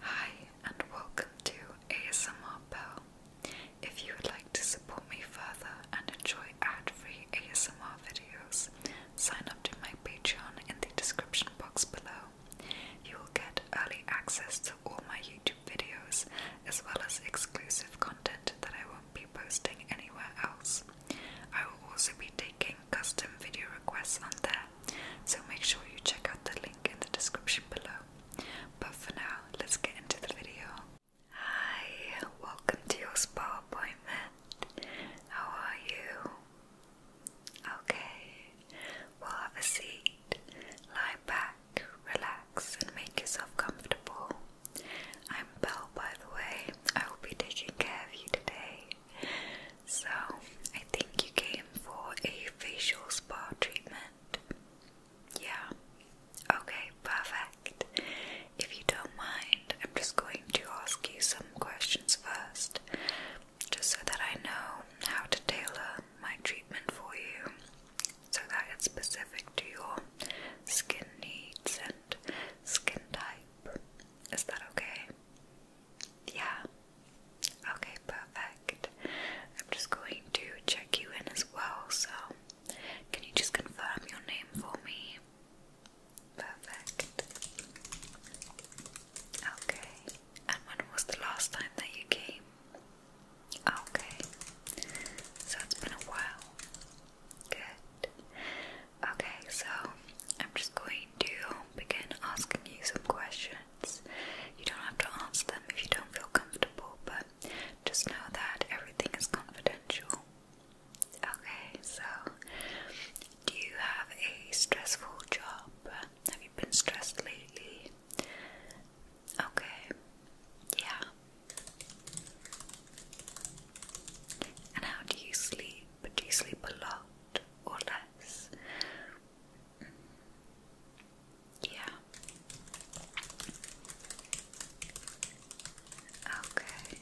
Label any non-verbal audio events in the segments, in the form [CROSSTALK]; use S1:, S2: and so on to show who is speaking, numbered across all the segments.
S1: Hi, and welcome to ASMR Pearl. If you would like to support me further and enjoy ad free ASMR videos, sign up to my Patreon in the description box below. You will get early access to all my YouTube videos as well as exclusive content that I won't be posting anywhere else. I will also be taking custom video requests on there so make sure you check out the link in the description below. But for now, let's get into the video. Hi, welcome to your spa appointment. How are you? Okay, well, have a seat, lie back, relax, and make yourself comfortable. I'm Belle, by the way. I will be taking care of you today. So, I think you came for a facial spa treatment. Yeah. Okay, perfect. If you don't mind, I'm just going to ask you some questions first, just so that I know how to tailor my treatment for you so that it's specific to your skin needs and skin type. Is that okay? Yeah. Okay, perfect. I'm just going to check you in as well, so can you just confirm your name for me? Perfect. Okay. And when was the last time that you came? Okay. So it's been a while. Good. Okay, so I'm just going to begin asking you some questions. You don't have to answer them if you don't feel comfortable, but just know that everything is confidential. Okay, so do you have a stressful job? Have you been stressed lately? Okay, yeah. And how do you sleep? Do you sleep a lot or less? Yeah. Okay.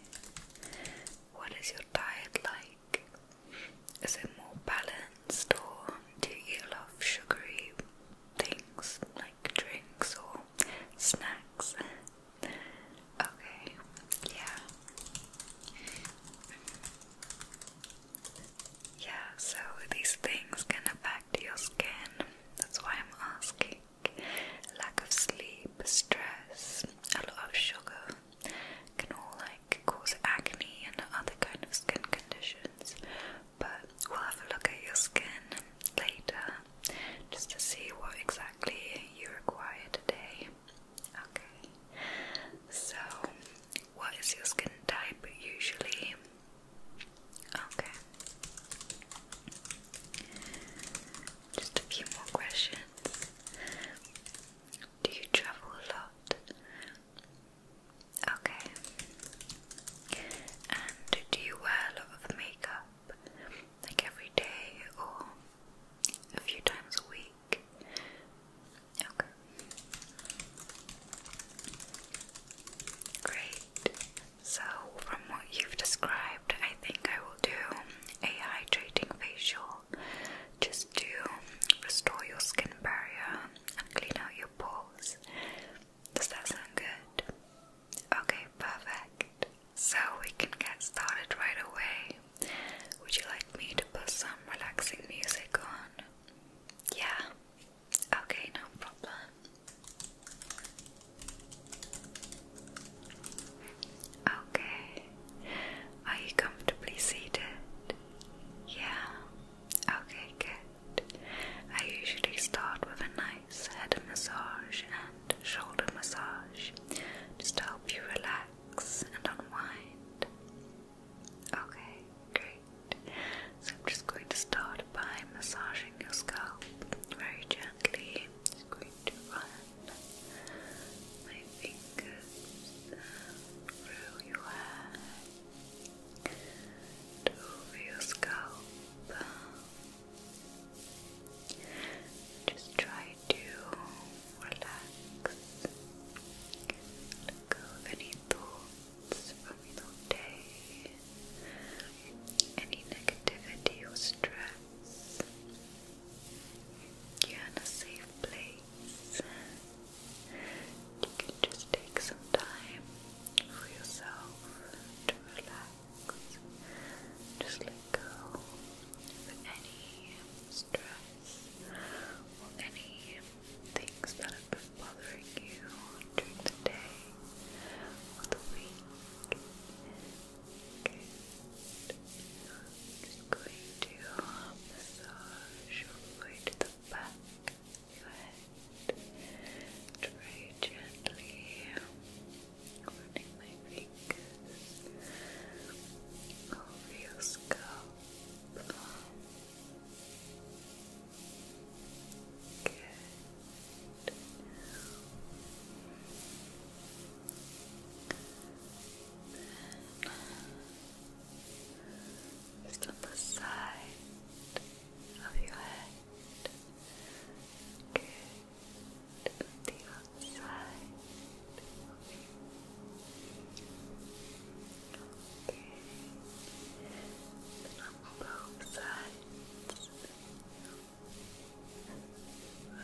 S1: What is your diet like? Is it more balanced or do you love sugary things like drinks or snacks? Okay, yeah. Yeah, so these things can affect your skin. That's why I'm asking. Lack of sleep, stress, a lot of sugar can all like cause acne and other kind of skin conditions. But we'll have a look at your skin later just to see what exactly you require today. Okay. So what is your skin type usually? Okay. Just a few more questions. Do you travel a lot? Okay. And do you wear a lot of makeup? Like every day or a few times a week? Okay. Great. So, from what you've described, I think I will do a hydrating facial just to restore your skin barrier and clean out your pores. Does that sound good? Okay, perfect. So, we can get started right away. Would you like me to put some relaxing music on? Yeah, Okay, no problem. Okay. Are you comfortably seated? Yeah. Okay, good. I usually start with a nice head massage and shoulder massage just to help you relax and unwind. Okay, great. So I'm just going to start by massaging your scalp very gently. Just going to run my fingers through your hair over your scalp. Just try to relax, let go of any thoughts thoughts from your day, any negativity or stress. You're in a safe place. You can just take some time for yourself to relax. Just let go of any stress or any things that have been bothering you during the day or the week. going to uh, massage way to the back of your head. Very gently running my fingers over your scalp. Good. Then, just on the side of your head. Good. The outside. Okay. Okay. And both sides. Perfect. Good. Okay. And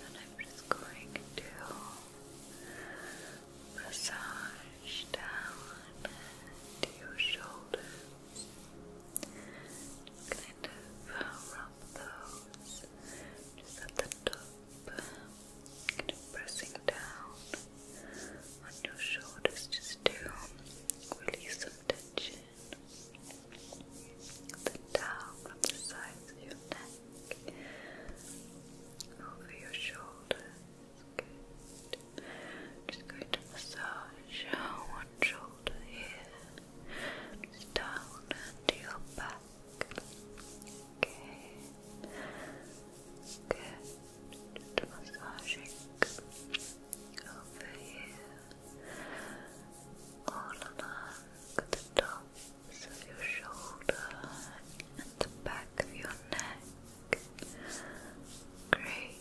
S1: then I'm just going to massage down to your shoulders. kind of rub those just at the top, kind of pressing down on your shoulders just to release some tension. Then down from the sides of your neck, over your shoulders. That's good. Just going massage one shoulder here, down to your back. Okay. Good. Just massaging over here, all along the tops of your shoulder and the back of your neck. Great.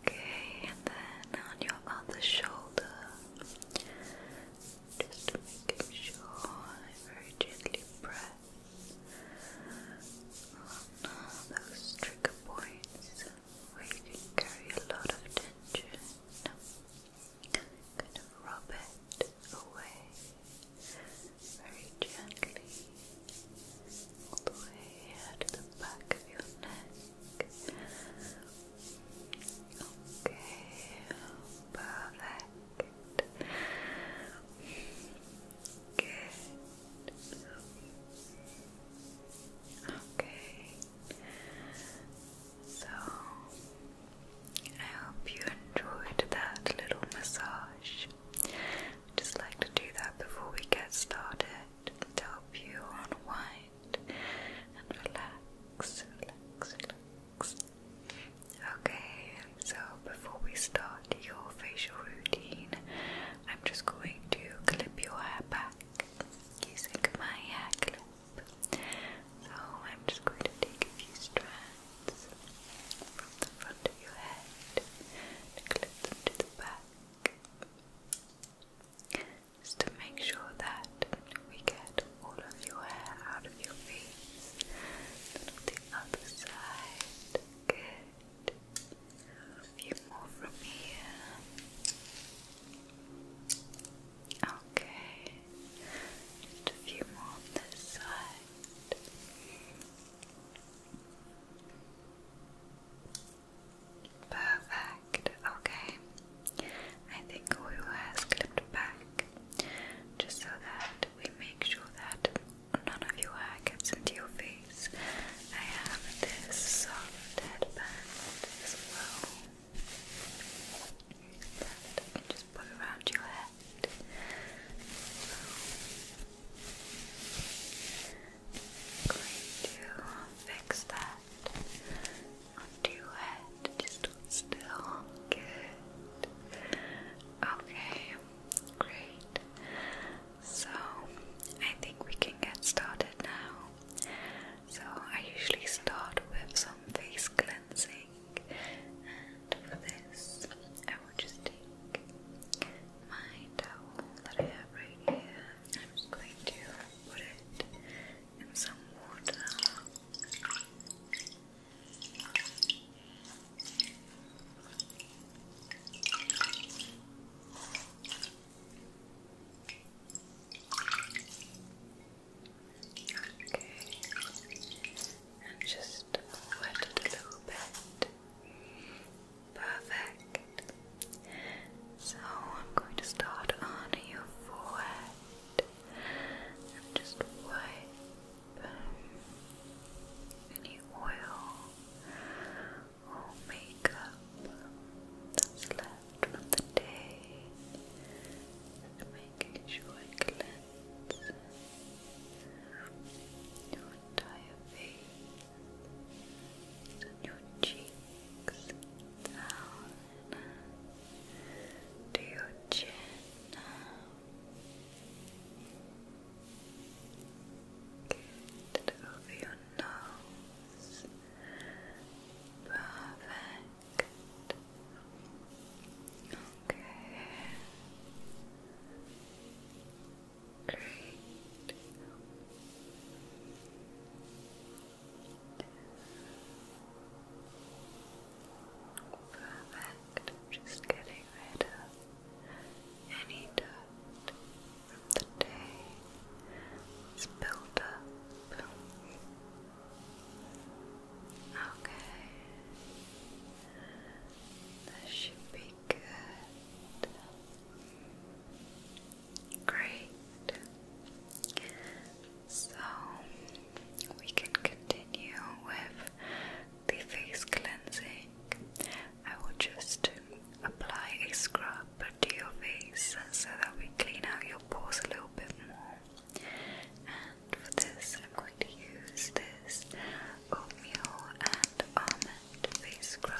S1: Okay, and then on your other shoulder, just making sure I very gently press on those trigger points where you can carry a lot of tension. Kind of rub it away very gently all the way to the back of your neck. Okay, perfect. Good. Okay. So I hope you enjoyed that little massage just like to do that before we get started to help you unwind and relax, relax, relax. Okay, so before we start your facial routine, I'm just going to clip your hair back using my hair clip. So I'm just going to take a few strands from the front of your head and clip them to the back to make sure that we get all of your hair out of your face the other side, good a few more from here okay a few more on this side Perfect. Okay. I think we has clipped back just so that we make sure that none of your hair gets into your face. I have this soft headband as well that I can just put around your head i going to fix that onto your head. Just still. Good. Okay, great. So, I think we can get started now. So, I usually start with some face cleansing, and for this, will just take my towel that I have right here. I'm just going to put it in some water. and just wet it a little bit. Perfect. So I'm going to start on your forehead. just wipe any oil or makeup that's left from the day. making sure I cleanse your entire face and your cheeks to your chin. Good. Over your nose. Perfect. Okay. Great. Perfect. just getting rid of any dirt from the day. It's built up. Okay. This should be good. Great. So we can continue with the face cleansing. I will just apply a scrub to your face so that we clean out your pores a little bit more. And for this, I'm going to use this oatmeal and almond face scrub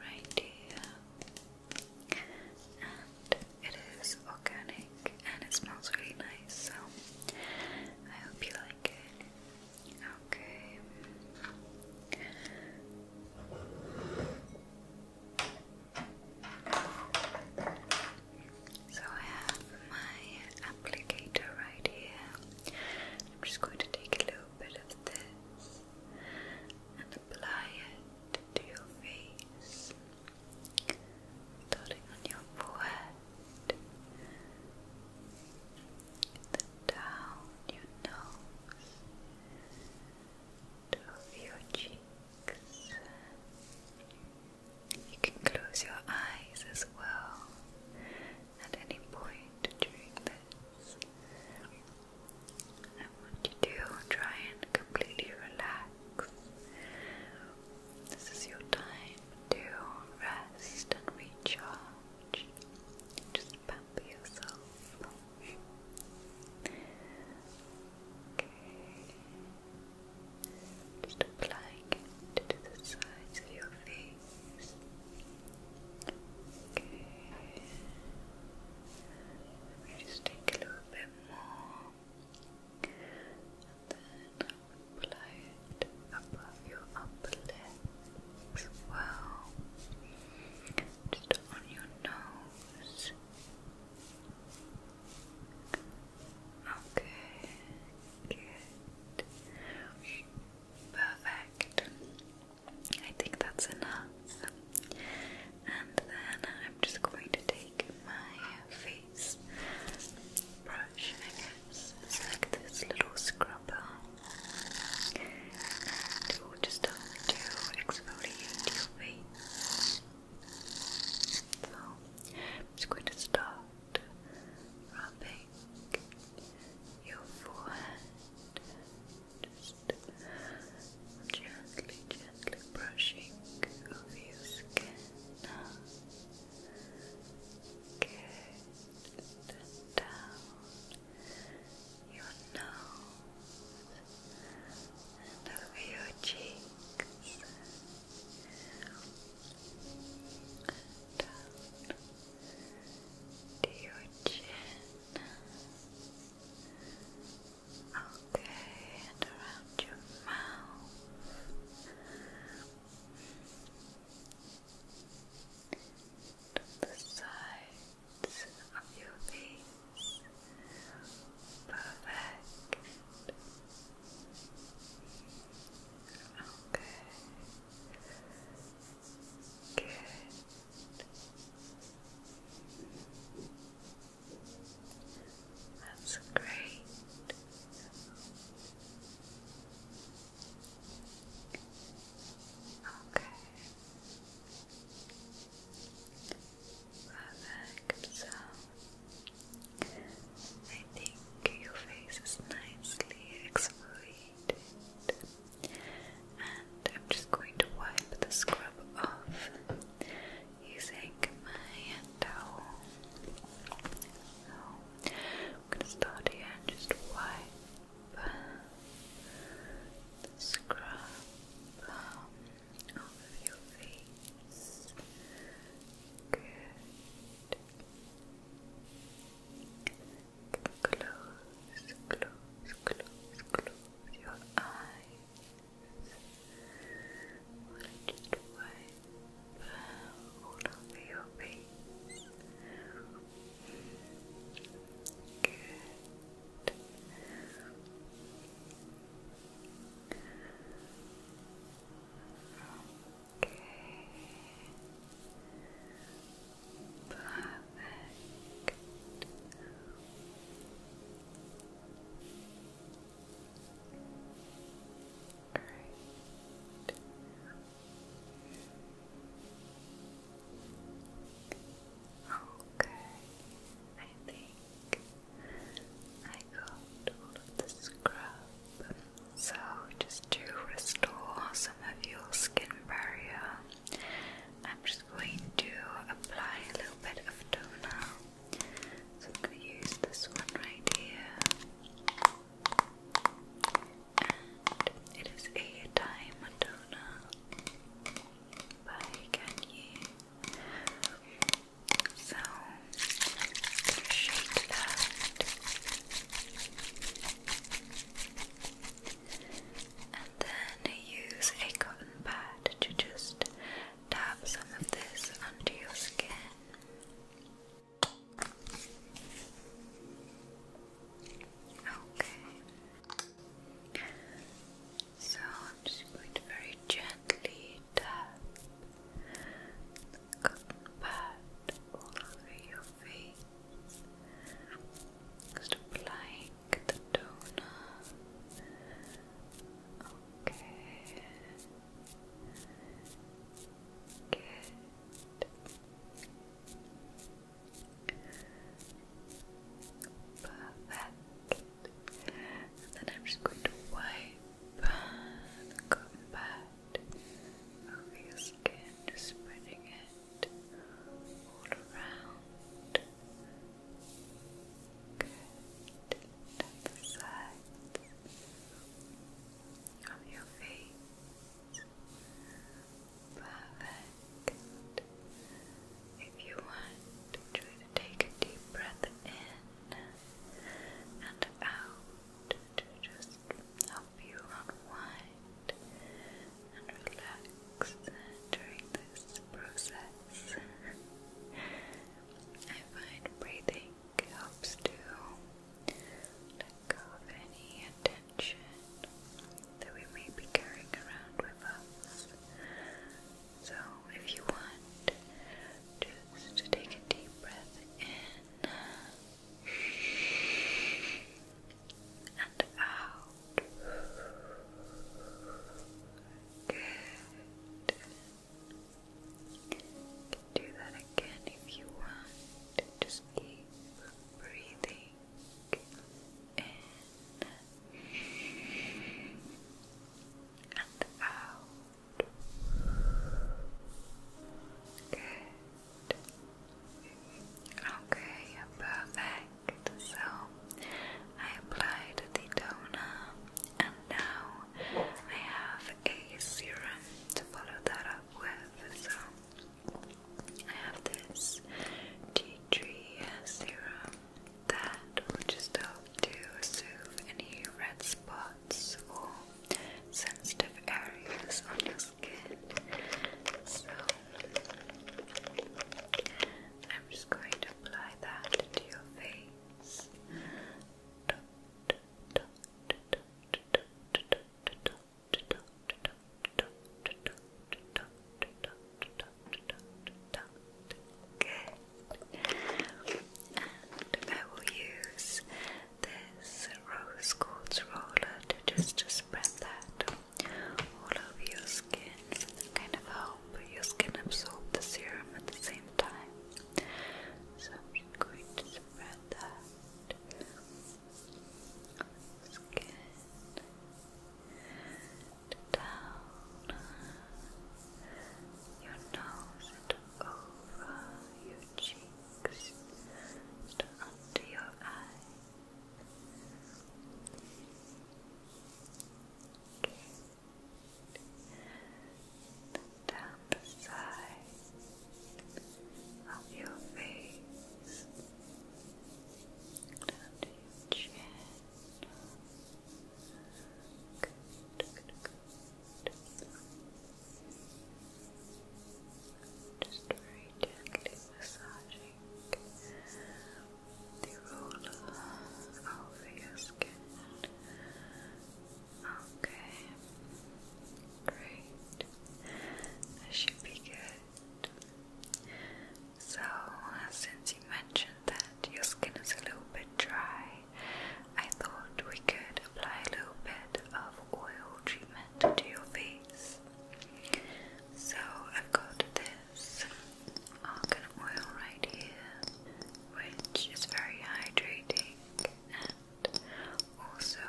S1: right here. And it is organic and it smells really nice, so I hope you like it. Okay. So I have my applicator right here. I'm just going to take a little bit of this and apply it to your face, starting on your forehead, then down your nose, over your cheeks. You can close your eyes as well at any point during this. I want you to try and completely relax. This is your time to rest and recharge. Just pamper yourself. Just applying it to the sides of your face. Okay. Let just take a little bit more. And then apply it above your upper lip well. Just on your nose. Okay. Good. Perfect. I think that's enough. And then I'm just going to take my face brush, I guess. It's like this little scrubber. And just start to So i going to start rubbing your forehead, just gently, gently brushing over your skin now. down your nose and over your cheeks down to your chin. Okay, and around your mouth. To the sides of your face. Perfect. Okay. Good. That's great. Okay. Perfect. So I think your face is nicely exfoliated and I'm just going to wipe the scrub off using my hand towel. So I'm gonna start here and just wipe the scrub um, off of your face. Good. Close, close, close, close your eyes. What did wipe all over your face? Good. Okay. Perfect. Great. Okay, I think I got all of the scrub. So, just to restore some of your skin barrier, I'm just going to apply a little bit of toner. So I'm going to use this one right here, it is a time toner by Kanye. So shake that and then use a cotton pad to just dab some of this under your skin. Okay, so I'm just going to very gently tap the cotton pad all over your face. Just applying the toner. Okay. Good. Perfect. And then I'm just going to wipe the combat over your skin, spreading it. Good. All around. Good. And the of your face. Perfect. If you want, take a deep breath in and out just help you unwind and relax during this process. I find breathing helps to let go of any attention that we may be carrying around with us. So, if you want, just take a deep breath in and out. Good. You can do that again if you want. Just keep breathing in and out. Good. Okay, perfect. So I applied the toner and now I have a serum to follow that up with. So I have this tea tree serum that will just help to soothe any red spots or sensitive areas on your skin skin. So I'm just going to apply that to your face. Dot, dot, dot, dot, dot, dot, and I will use this rose quartz roller to just, just spread that all over your skin, kind of help your skin absorb the serum at the same time. So going to spread that skin down your nose over your cheeks and under your eyes. Good. Down the side of your face, down your chin. Just very gently massage the roller over your skin. Okay, great. That should be good. So, since you mentioned that your skin is a little bit dry, I thought we could apply a little bit of oil treatment to your face. So I've got this argan oil right here, which is very hydrating and also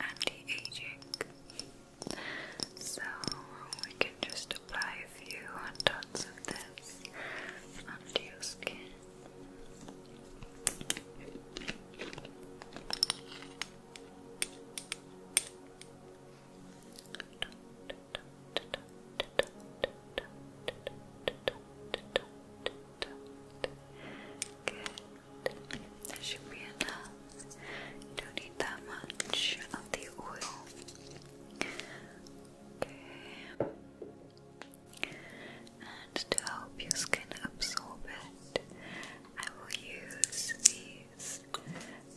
S1: anti-aging. So we can just apply a few dots of this onto your skin. Good. That should be enough. You don't need that much of the oil. Okay. And to help your skin absorb it, I will use these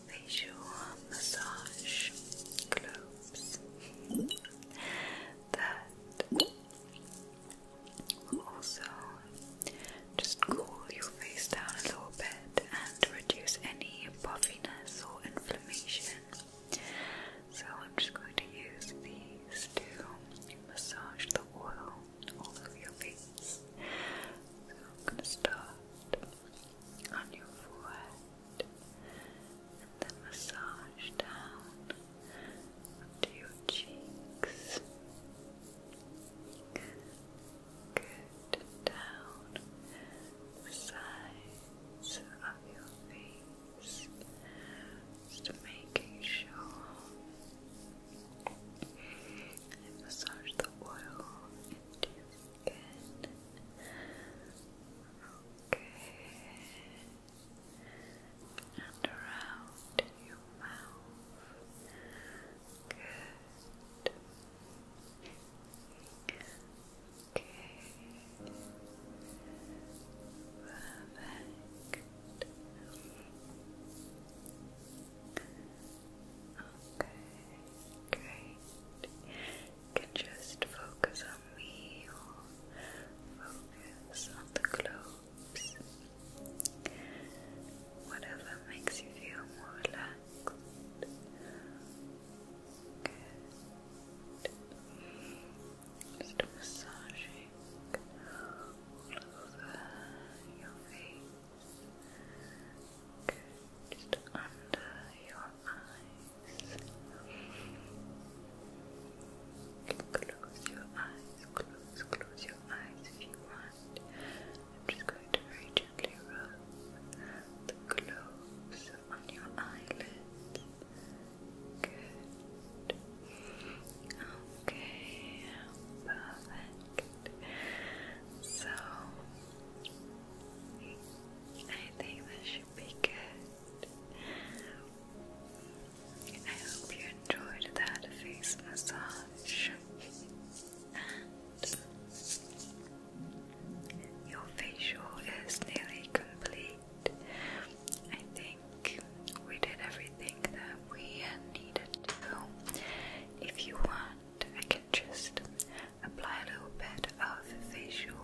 S1: facial massage globes [LAUGHS] that will also just cool your face down a little bit and reduce any puffiness or inflammation. So I'm just going to use these to massage the oil all over your face. So I'm going to start on your forehead and then massage down to your cheeks. Good. Down the sides of your face. Just making sure and massage the oil into your skin. Okay. And around your mouth. Good. Okay. Perfect. Okay, great. You can just focus on me or focus on the globes. Whatever makes you feel more relaxed. Good. Just massaging all over your face. Good. Just under your eyes. Close your eyes, close, close your eyes if you want. I'm just going to very gently rub the gloves on your eyelids. Good. Okay, perfect. So I think that should be good. I hope you enjoyed that face massage and your facial is nearly complete. I think we did everything that we needed to. If you want I can just apply a little bit of facial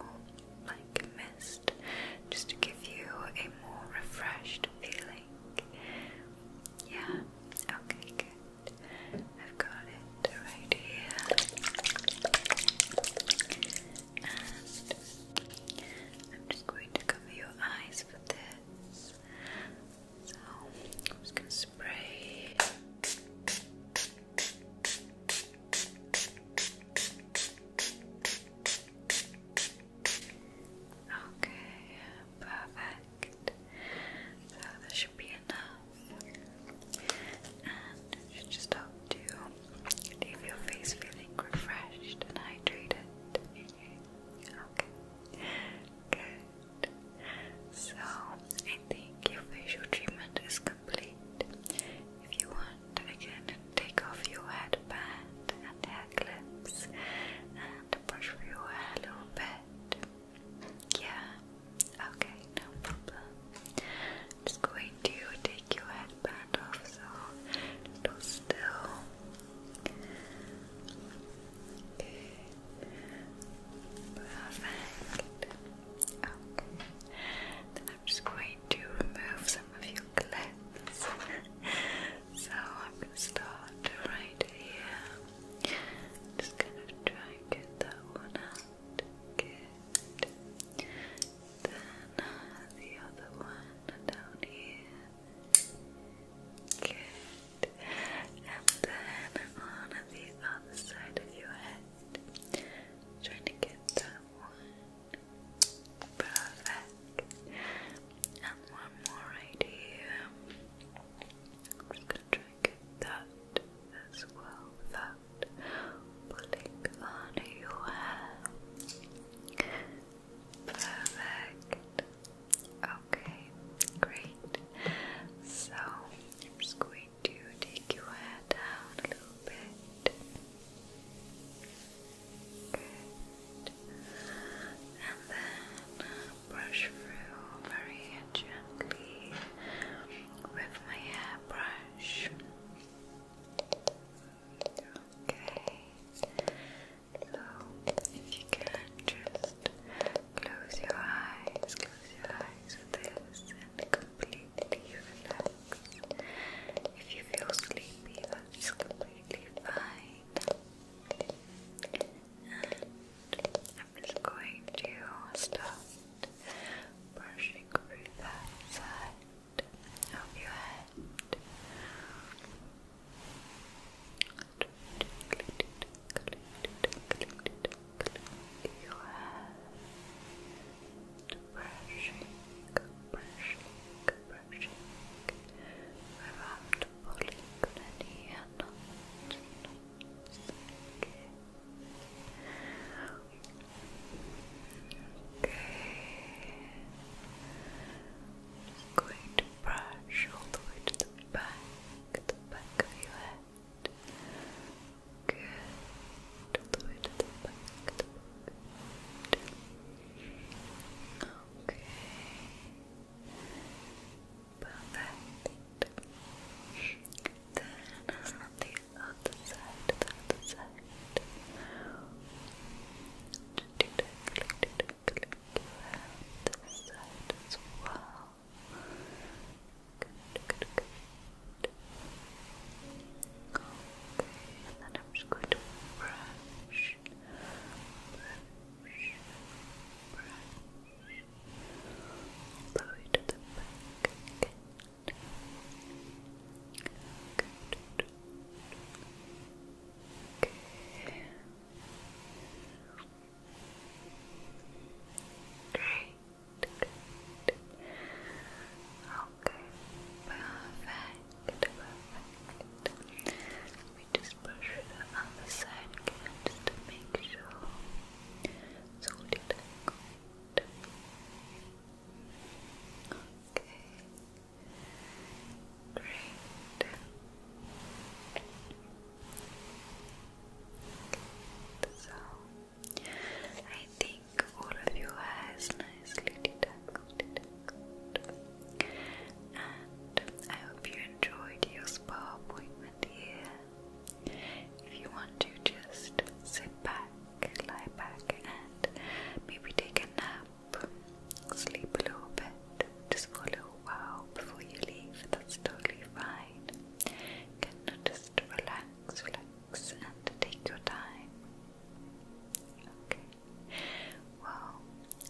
S1: like mist just to give you a more refreshed feeling. Yeah, okay, good. I've got it right here. I'm just going to cover your eyes for this. So I'm spray. Okay, perfect. So that should be enough. And should just help to leave your face feeling refreshed and hydrated. Okay. Good. So I think your facial treatment is complete. If you want, I take off your headband and hair clips and brush your hair a little bit. Yeah, okay, no problem. I'm just going to take your headband off so it'll still. Perfect. Okay. Then I'm just going to remove some of your clips. so I'm going to start right here. Just going to try and get that one out. Good. Then the other one down here. Good and then on the other side of your head. Trying to get that one. Perfect. And one more right here. just gonna try and get that as well without pulling on your hair. Perfect. Okay, great. So I'm just going to take your hair down a little bit. And then brush through very gently with my hairbrush. Okay. So if you can just Close your eyes, close your eyes with and completely relax. If you feel sleepy, that's completely fine. And I'm just going to start brushing through that side of your head. You are brushing, brushing, brushing without pulling any knots, knots. Okay. Just going to brush all the way to the back, the back of your head head. Good. All Okay. Perfect. Then the other side, the other side. Just do that, click, do Good, good, and then I'm just going to brush, brush, brush. Blow it to the back Great, good. Okay, perfect, perfect. Let me just push the other side just to make sure it's all good. Okay, great. So, I think all of your hair nicely detangled, And I hope you enjoyed your spa appointment here. If you want to, just sit back, lie back, and maybe take a nap, sleep a little bit, just follow wow before you leave, that's totally fine. can just relax, relax, and take your time. Okay. Well,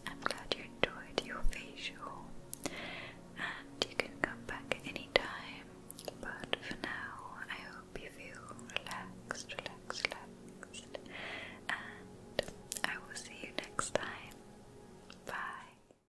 S1: I'm glad you enjoyed your facial, and you can come back anytime. But for now, I hope you feel relaxed, relaxed, relaxed, and I will see you next time. Bye.